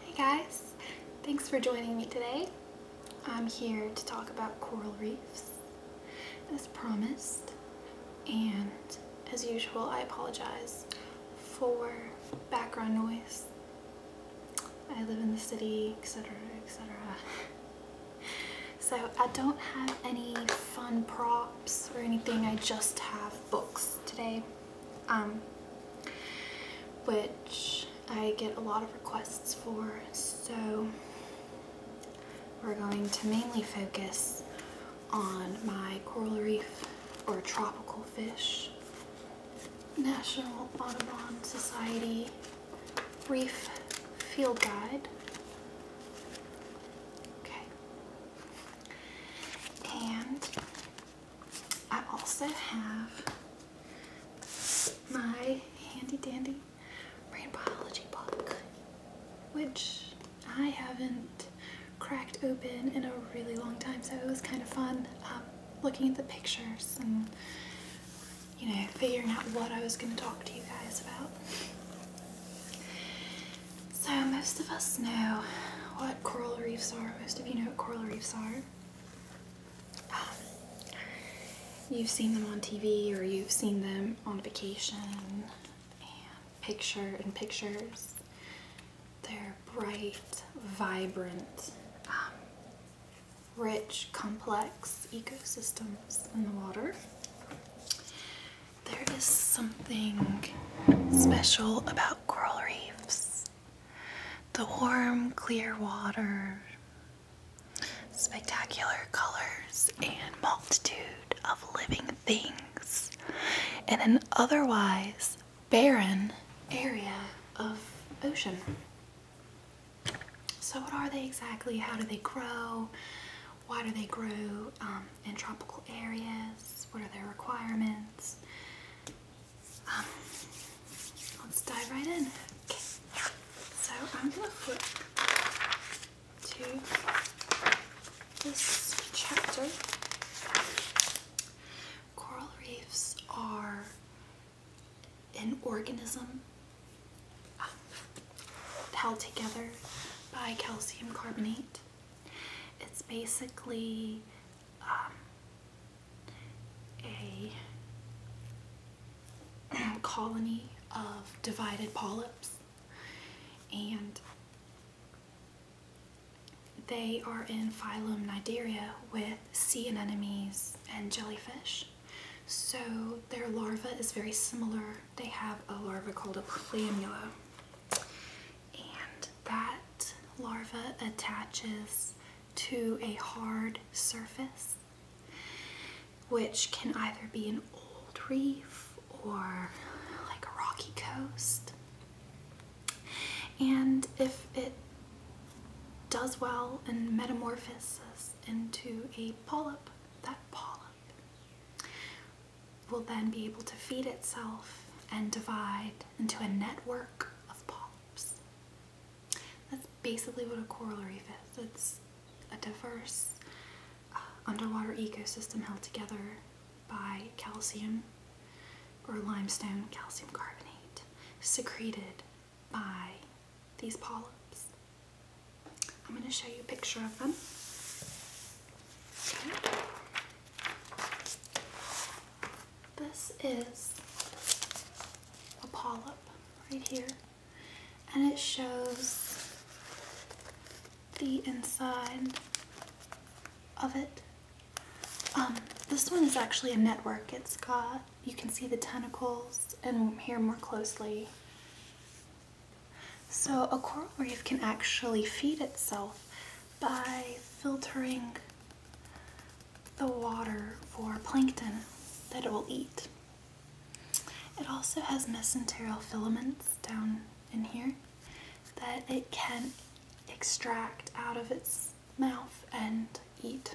Hey guys, thanks for joining me today. I'm here to talk about coral reefs, as promised, and as usual I apologize for background noise. I live in the city, etc, etc. So I don't have any fun props or anything, I just have books today um, which I get a lot of requests for. So we're going to mainly focus on my coral reef or tropical fish National Audubon Society Reef Field Guide. Okay. And I also have my handy dandy brain biology book, which I haven't cracked open in a really long time, so it was kind of fun um, looking at the pictures and you know, figuring out what I was going to talk to you guys about. So most of us know what coral reefs are most of you know what coral reefs are. Um, you've seen them on TV or you've seen them on vacation picture and pictures. They're bright, vibrant, um, rich, complex ecosystems in the water. There is something special about coral reefs. The warm, clear water, spectacular colors, and multitude of living things in an otherwise barren area of ocean. So, what are they exactly? How do they grow? Why do they grow um, in tropical areas? What are their requirements? Um, let's dive right in. So I'm gonna flip to this chapter. Coral reefs are an organism um, held together by calcium carbonate. It's basically um, a colony of divided polyps and they are in phylum Nidaria with sea anemones and jellyfish. So their larva is very similar. They have a larva called a pleomula and that larva attaches to a hard surface, which can either be an old reef or like a rocky coast. And if it does well and metamorphoses into a polyp, that polyp will then be able to feed itself and divide into a network of polyps. That's basically what a coral reef is. It's a diverse uh, underwater ecosystem held together by calcium or limestone calcium carbonate secreted by these polyps. I'm going to show you a picture of them. This is a polyp right here, and it shows the inside of it. Um, this one is actually a network. It's got, you can see the tentacles and here more closely. So a coral reef can actually feed itself by filtering the water for plankton that it will eat. It also has mesenterial filaments down in here that it can extract out of its mouth and eat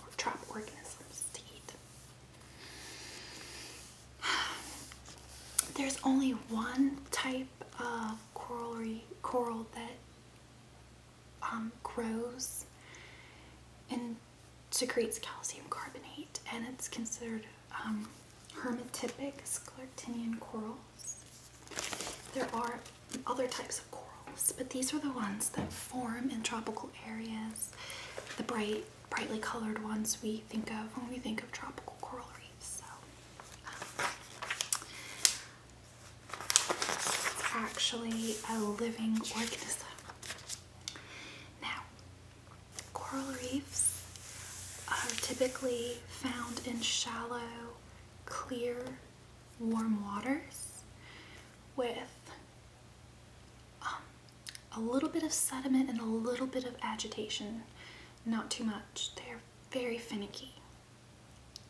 or trap organisms to eat. There's only one type type of coral coral that um, grows and secretes calcium carbonate, and it's considered um, hermatipic scleractinian corals. There are other types of corals, but these are the ones that form in tropical areas. The bright, brightly colored ones we think of when we think of tropical coral reefs. So it's actually a living organism. Now, coral reefs are typically found in shallow, clear, warm waters with um, a little bit of sediment and a little bit of agitation, not too much. They're very finicky.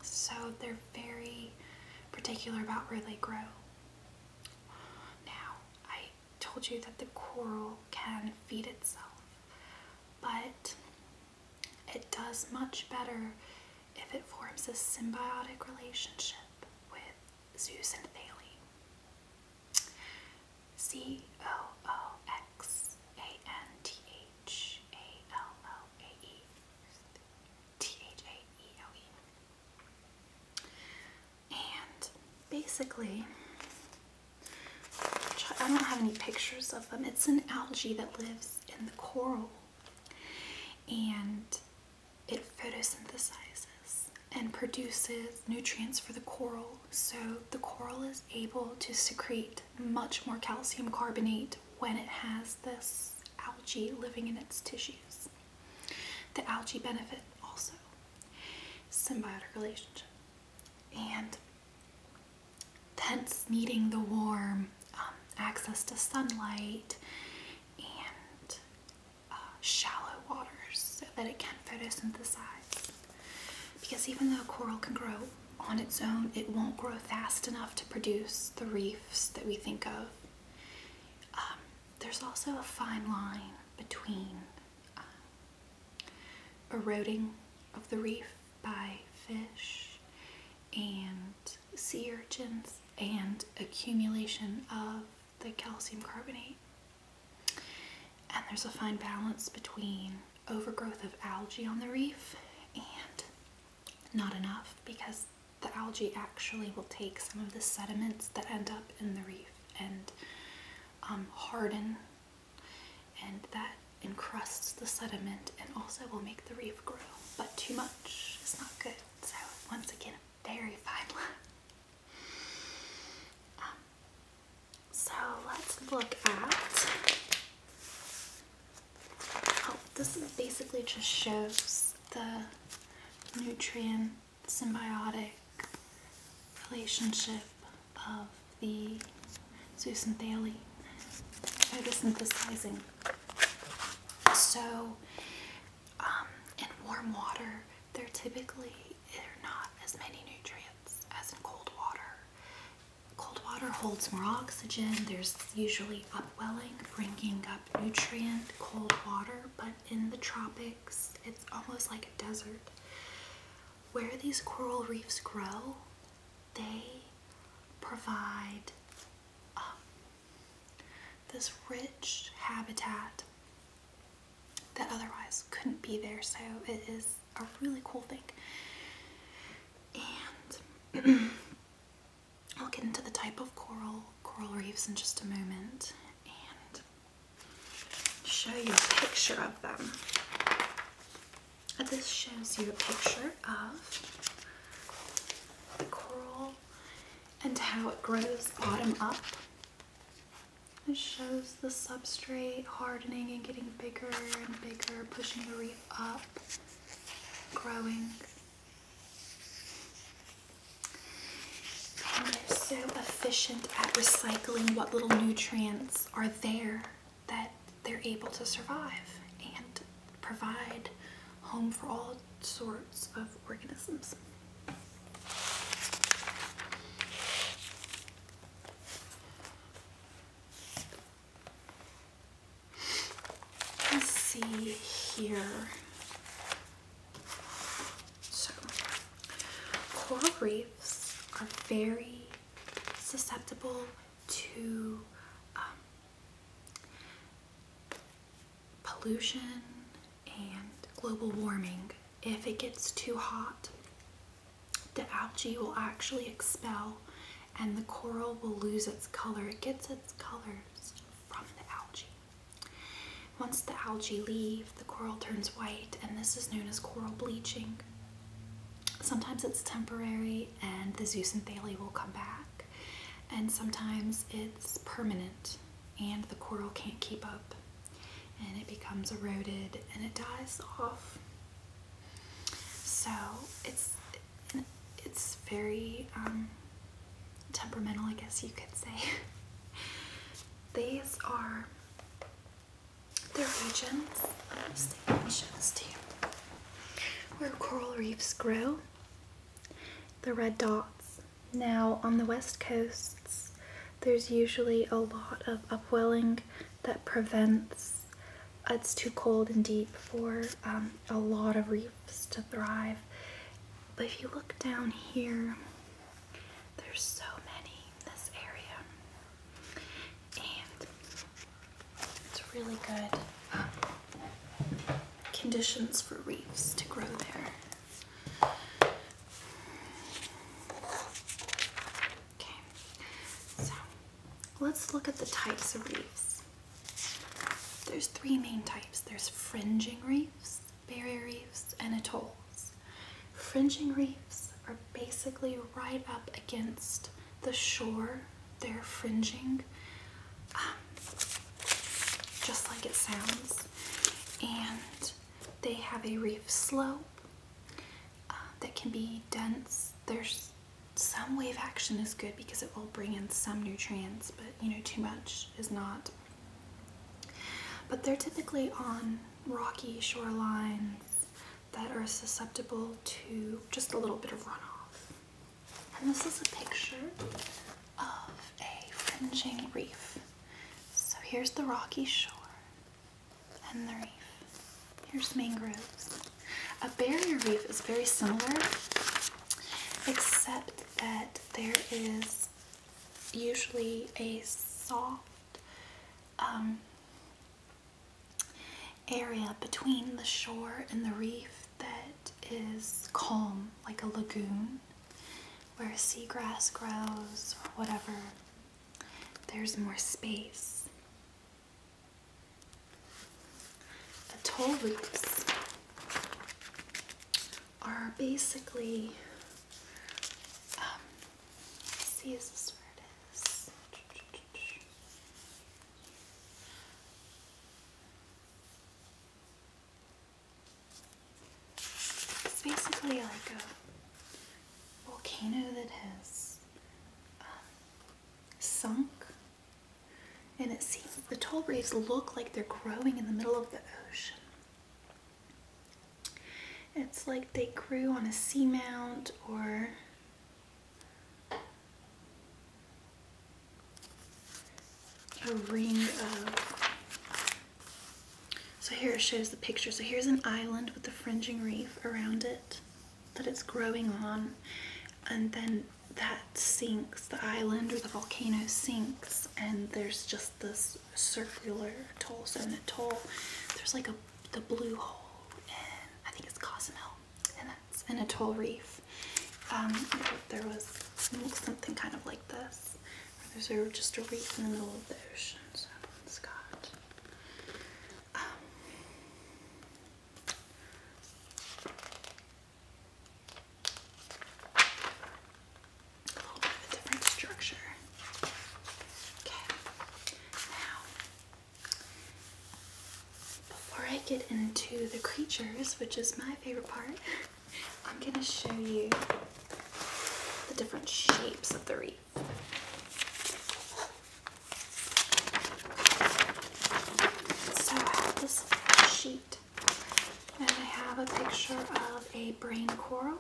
So they're very particular about where they grow. Now, I told you that the coral can feed itself, but it does much better if it forms a symbiotic relationship with Zeus and H A L L A E T H A E L E. And basically, I don't have any pictures of them. It's an algae that lives in the coral and it photosynthesizes and produces nutrients for the coral. So the coral is able to secrete much more calcium carbonate when it has this algae living in its tissues. The algae benefit also symbiotic relationship and hence needing the warm um, access to sunlight and uh, shallow waters so that it can photosynthesize. Because even though coral can grow on its own, it won't grow fast enough to produce the reefs that we think of. Um, there's also a fine line between uh, eroding of the reef by fish and sea urchins and accumulation of the calcium carbonate. And there's a fine balance between overgrowth of algae on the reef and not enough because the algae actually will take some of the sediments that end up in the reef and um, harden and that encrusts the sediment and also will make the reef grow but too much is not good so once again very fine line um, so let's look at, oh, this is basically just shows the nutrient symbiotic relationship of the zooxanthellae photosynthesizing. So um, in warm water, there typically are not as many nutrients as in cold water. Cold water holds more oxygen. There's usually upwelling, bringing up nutrient, cold water, but in the tropics, it's almost like a desert. Where these coral reefs grow, they provide um, this rich habitat that otherwise couldn't be there. So it is a really cool thing. And I'll get into the type of coral, coral reefs in just a moment and show you a picture of them. This shows you a picture of the coral and how it grows bottom up. This shows the substrate hardening and getting bigger and bigger, pushing the reef up, growing. And they're so efficient at recycling what little nutrients are there that they're able to survive and provide home for all sorts of organisms. Let's see here. So, coral reefs are very susceptible to um, pollution and global warming. If it gets too hot, the algae will actually expel and the coral will lose its color. It gets its colors from the algae. Once the algae leave, the coral turns white and this is known as coral bleaching. Sometimes it's temporary and the zooxanthellae will come back and sometimes it's permanent and the coral can't keep up and it becomes eroded and it dies off. So it's it's very um, temperamental, I guess you could say. These are the regions, the regions too, where coral reefs grow. The red dots. Now on the west coasts, there's usually a lot of upwelling that prevents uh, it's too cold and deep for um, a lot of reefs to thrive. But if you look down here, there's so many in this area, and it's really good um, conditions for reefs to grow there. Okay, so let's look at the types of reefs. There's three main types. There's fringing reefs, barrier reefs, and atolls. Fringing reefs are basically right up against the shore. They're fringing, um, just like it sounds, and they have a reef slope um, that can be dense. There's some wave action is good because it will bring in some nutrients, but you know, too much is not. But they're typically on rocky shorelines that are susceptible to just a little bit of runoff. And this is a picture of a fringing reef. So here's the rocky shore, and the reef. Here's mangroves. A barrier reef is very similar, except that there is usually a soft um, area between the shore and the reef that is calm, like a lagoon where seagrass grows or whatever there's more space. The toll roofs are basically, um, basically like a volcano that has um, sunk. And it seems the tall reefs look like they're growing in the middle of the ocean. It's like they grew on a sea mount or a ring of so here it shows the picture so here's an island with a fringing reef around it that it's growing on, and then that sinks, the island or the volcano sinks, and there's just this circular toll zone atoll. There's like a the blue hole, and I think it's Cozumel, and that's an atoll reef. Um, there was something kind of like this. There's just a reef in the middle of the ocean, so a little bit of a different structure. Okay, now before I get into the creatures, which is my favorite part, I'm going to show you the different shapes of the wreath. So I have this sheet and I have a picture of a brain coral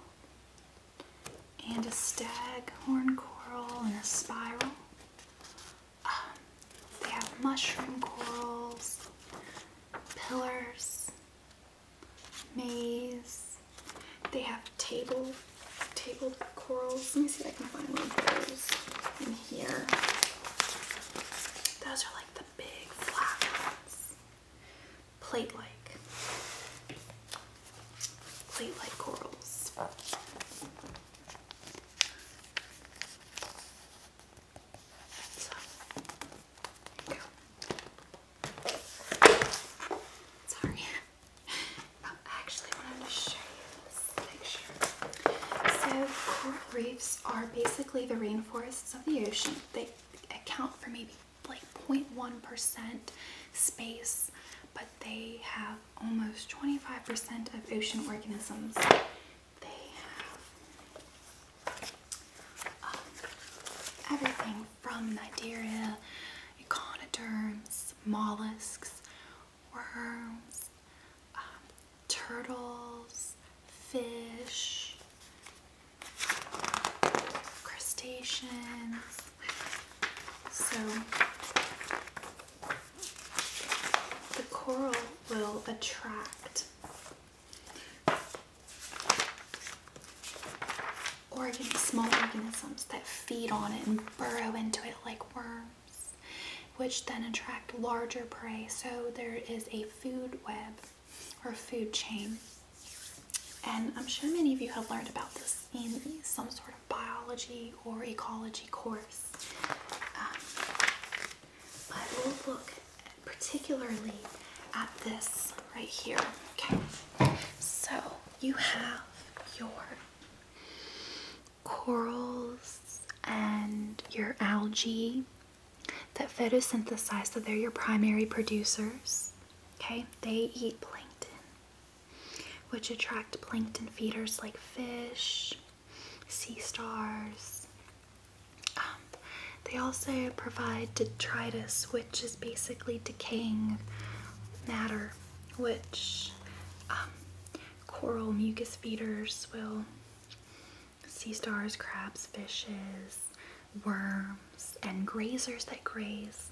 and a stag horn coral and a spiral. Um, they have mushroom corals, pillars, maze, they have table, table corals. Let me see if I can find one of those in here. Those are like the big flat Plate-like. Plate-like corals. Sorry. Um, actually wanted to show you this picture. So coral reefs are basically the rainforests of the ocean. They account for maybe like 0.1% space, but they have almost 25% of ocean organisms. They have um, everything from Nidaria, echinoderms, mollusks, worms, um, turtles, fish, crustaceans. So the coral will attract organ small organisms that feed on it and burrow into it like worms, which then attract larger prey. So there is a food web or food chain. And I'm sure many of you have learned about this in some sort of biology or ecology course. Um, but we'll look particularly at this right here. Okay, so you have your corals and your algae that photosynthesize, so they're your primary producers. Okay, they eat plankton, which attract plankton feeders like fish, sea stars. Um, they also provide detritus, which is basically decaying matter which um, coral mucus feeders will sea stars, crabs, fishes, worms, and grazers that graze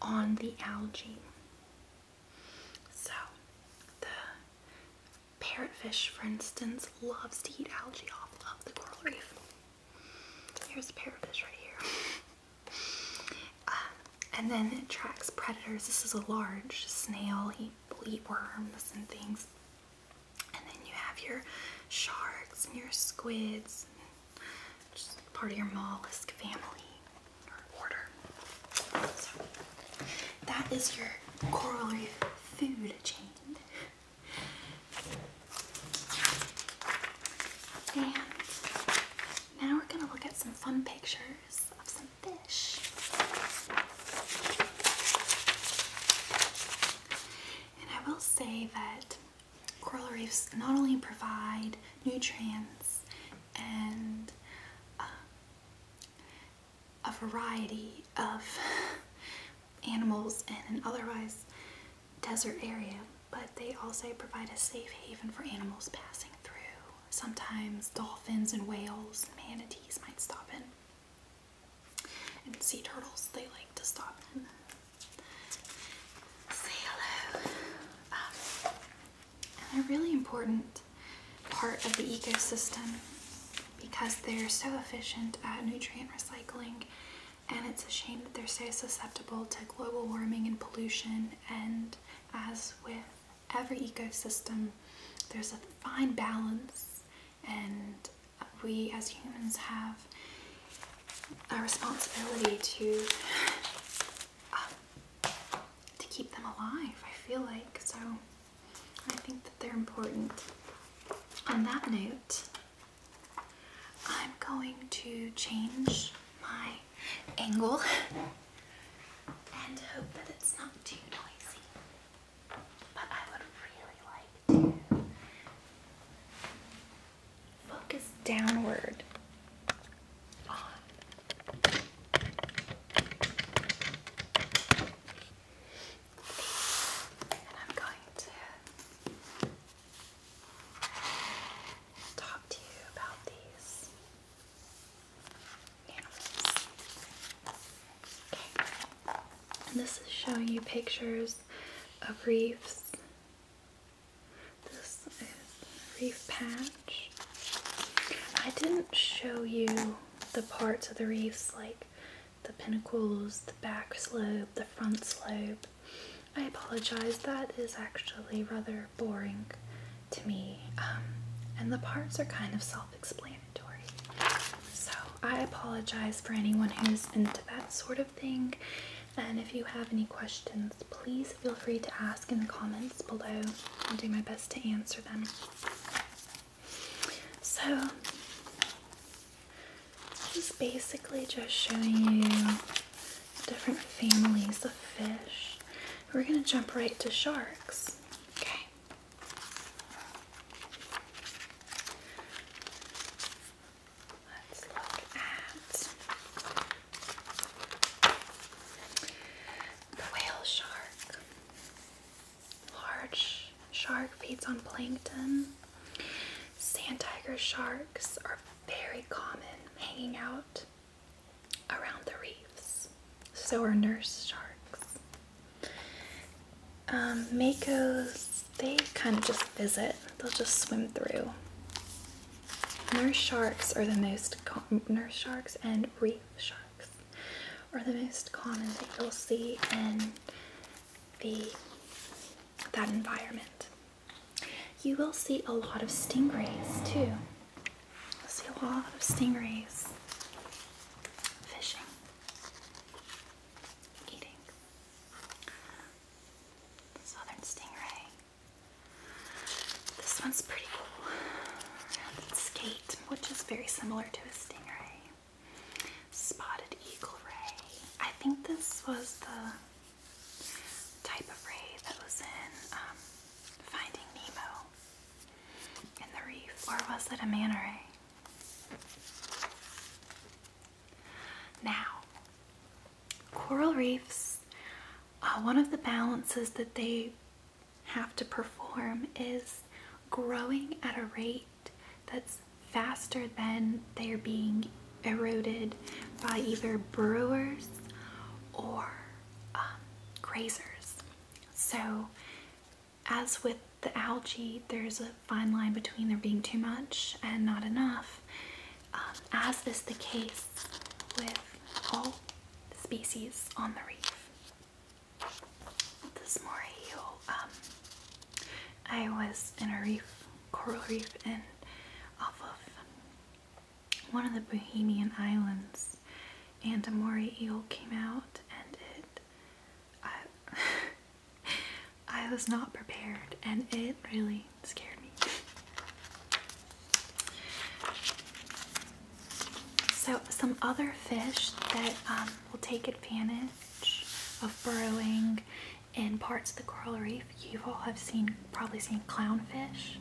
on the algae. So the parrotfish, for instance, loves to eat algae off of the coral reef. Here's a parrotfish right here. Um, and then it tracks predators. This is a large snail. He will worms and things. And then you have your sharks and your squids, just part of your mollusk family or order. So that is your coral reef food chain. And now we're gonna look at some fun pictures of some fish. And I will say that coral reefs not only provide nutrients and uh, a variety of animals and otherwise desert area, but they also provide a safe haven for animals passing through. Sometimes dolphins and whales and manatees might stop in. And sea turtles, they like to stop in. Say hello. Um, and they're really important part of the ecosystem because they're so efficient at nutrient recycling and it's a shame that they're so susceptible to global warming and pollution and as with every ecosystem there's a fine balance and we as humans have a responsibility to um, to keep them alive I feel like so I think that they're important on that note I'm going to change my angle and hope that it's not too noisy. But I would really like to focus downward on and I'm going to talk to you about these Okay. And this is showing you pictures of reefs. This is reef patch. I didn't show you the parts of the reefs like the pinnacles, the back slope, the front slope. I apologize, that is actually rather boring to me, um, and the parts are kind of self explanatory. So I apologize for anyone who's into that sort of thing, and if you have any questions, please feel free to ask in the comments below. I'll do my best to answer them. So, just basically just showing you different families of fish. We're going to jump right to sharks. Okay. Let's look at the whale shark. Large shark feeds on plankton. Sand tiger sharks are very common hanging out around the reefs. So are nurse sharks. Um, makos, they kind of just visit, they'll just swim through. Nurse sharks are the most, nurse sharks and reef sharks are the most common that you'll see in the, that environment. You will see a lot of stingrays too. You'll see a lot of stingrays fishing, eating. southern stingray. This one's pretty cool. skate, which is very similar to a stingray. Spotted eagle ray. I think this was the type of ray that was in um, Finding Nemo in the reef, or was it a manta ray? Now, coral reefs, uh, one of the balances that they have to perform is growing at a rate that's faster than they're being eroded by either brewers or um, grazers. So, as with the algae, there's a fine line between there being too much and not enough, um, as is the case with all species on the reef. This moray um, I was in a reef, coral reef, and off of one of the Bohemian Islands, and a moray eel came out, and it. I, was not prepared, and it really scared me. So, some other fish that um, will take advantage of burrowing in parts of the coral reef. You all have seen probably seen clownfish.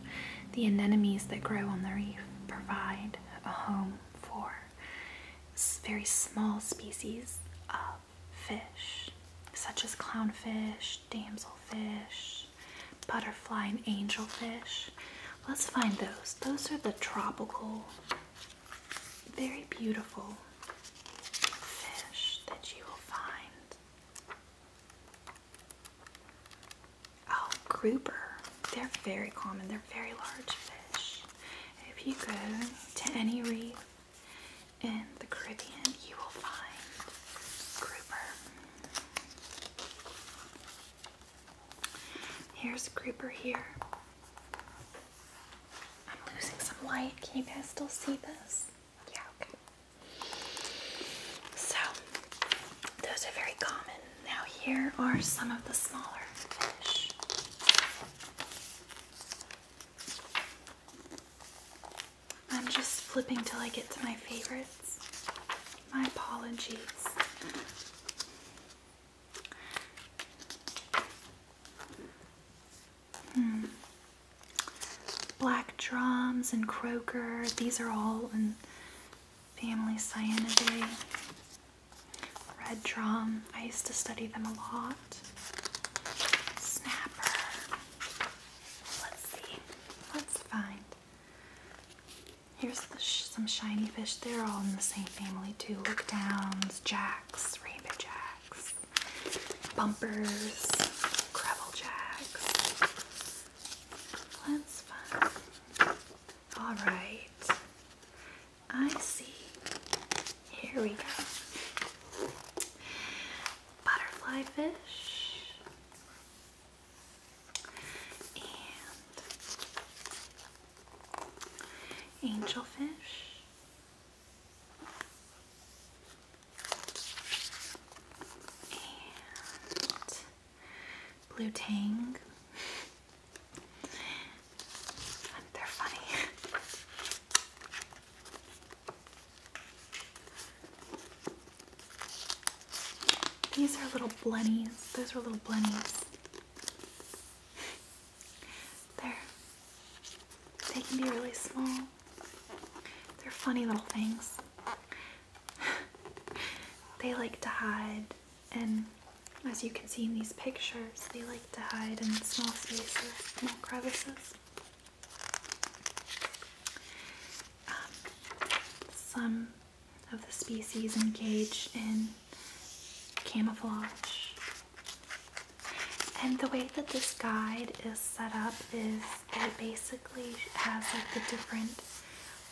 The anemones that grow on the reef provide a home for very small species of fish, such as clownfish, damselfish, butterfly, and angelfish. Let's find those. Those are the tropical, very beautiful fish that you will find Oh, grouper. They're very common. They're very large fish. If you go to any reef in the Caribbean, you will find grouper. Here's grouper here. I'm losing some light. Can you guys still see this? So, those are very common. Now, here are some of the smaller I'm just flipping till I get to my favorites. My apologies. Hmm. Black drums and croaker, these are all in family cyanidae. Red drum, I used to study them a lot. Snapper. Let's see, let's find. Here's some shiny fish. They're all in the same family too. Look downs, jacks, rainbow jacks bumpers, gravel jacks. That's fun. All right. I see. Here we go. Butterfly fish. And angelfish Blue Tang. They're funny. These are little blennies. Those are little blennies. they they can be really small. They're funny little things. they like to hide, and as you can see in these pictures, they like to hide in small spaces, small crevices. Um, some of the species engage in camouflage and the way that this guide is set up is it basically has like the different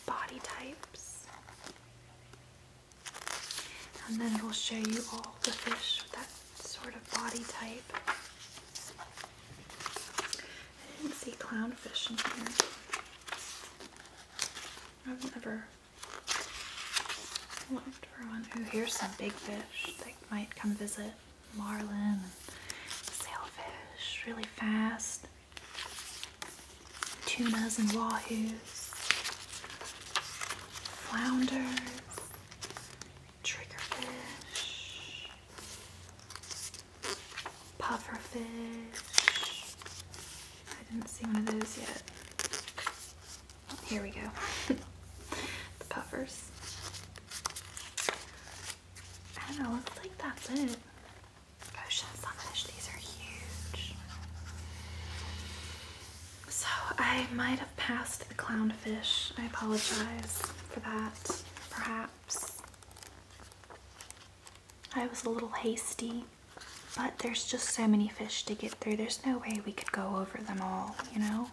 body types. And then it'll show you all the fish with that sort of body type. I didn't see clownfish in here. I've never looked for one. Oh, here's some big fish that might come visit marlin, sailfish really fast, tunas and wahoos, flounders, triggerfish, pufferfish. I didn't see one of those yet. Oh, here we go. the puffers. I don't know, looks like that's it. Ocean sunfish, these are huge. So I might have passed the clownfish. I apologize for that, perhaps. I was a little hasty, but there's just so many fish to get through. There's no way we could go over them all, you know?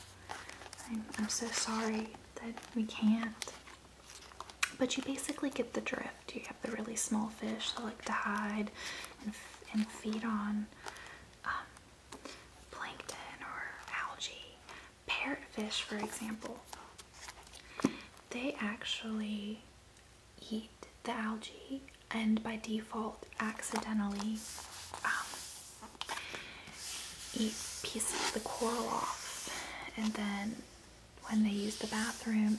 I'm, so sorry that we can't. But you basically get the drift. You have the really small fish that like to hide and, feed on um, plankton or algae. Parrotfish, for example, they actually eat the algae and by default accidentally um, eat pieces of the coral off, and then when they use the bathroom,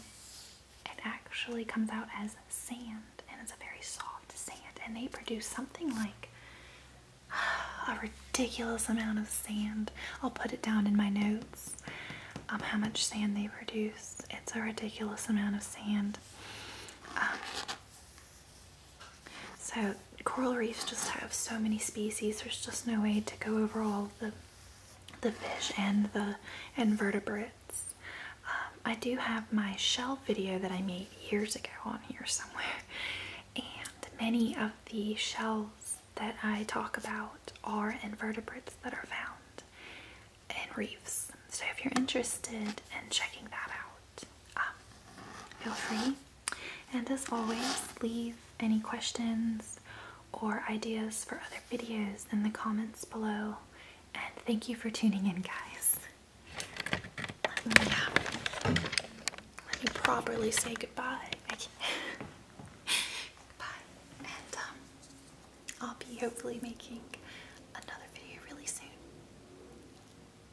it actually comes out as sand, and it's a very soft sand. And they produce something like a ridiculous amount of sand. I'll put it down in my notes um, how much sand they produce. It's a ridiculous amount of sand. Um, so coral reefs just have so many species. There's just no way to go over all the the fish and the invertebrates. Um, I do have my shell video that I made years ago on here somewhere, and many of the shells that I talk about are invertebrates that are found in reefs. So if you're interested in checking that out, um, feel free and as always, leave any questions or ideas for other videos in the comments below. And thank you for tuning in, guys. Let me, uh, properly say goodbye. goodbye. And um, I'll be hopefully making another video really soon.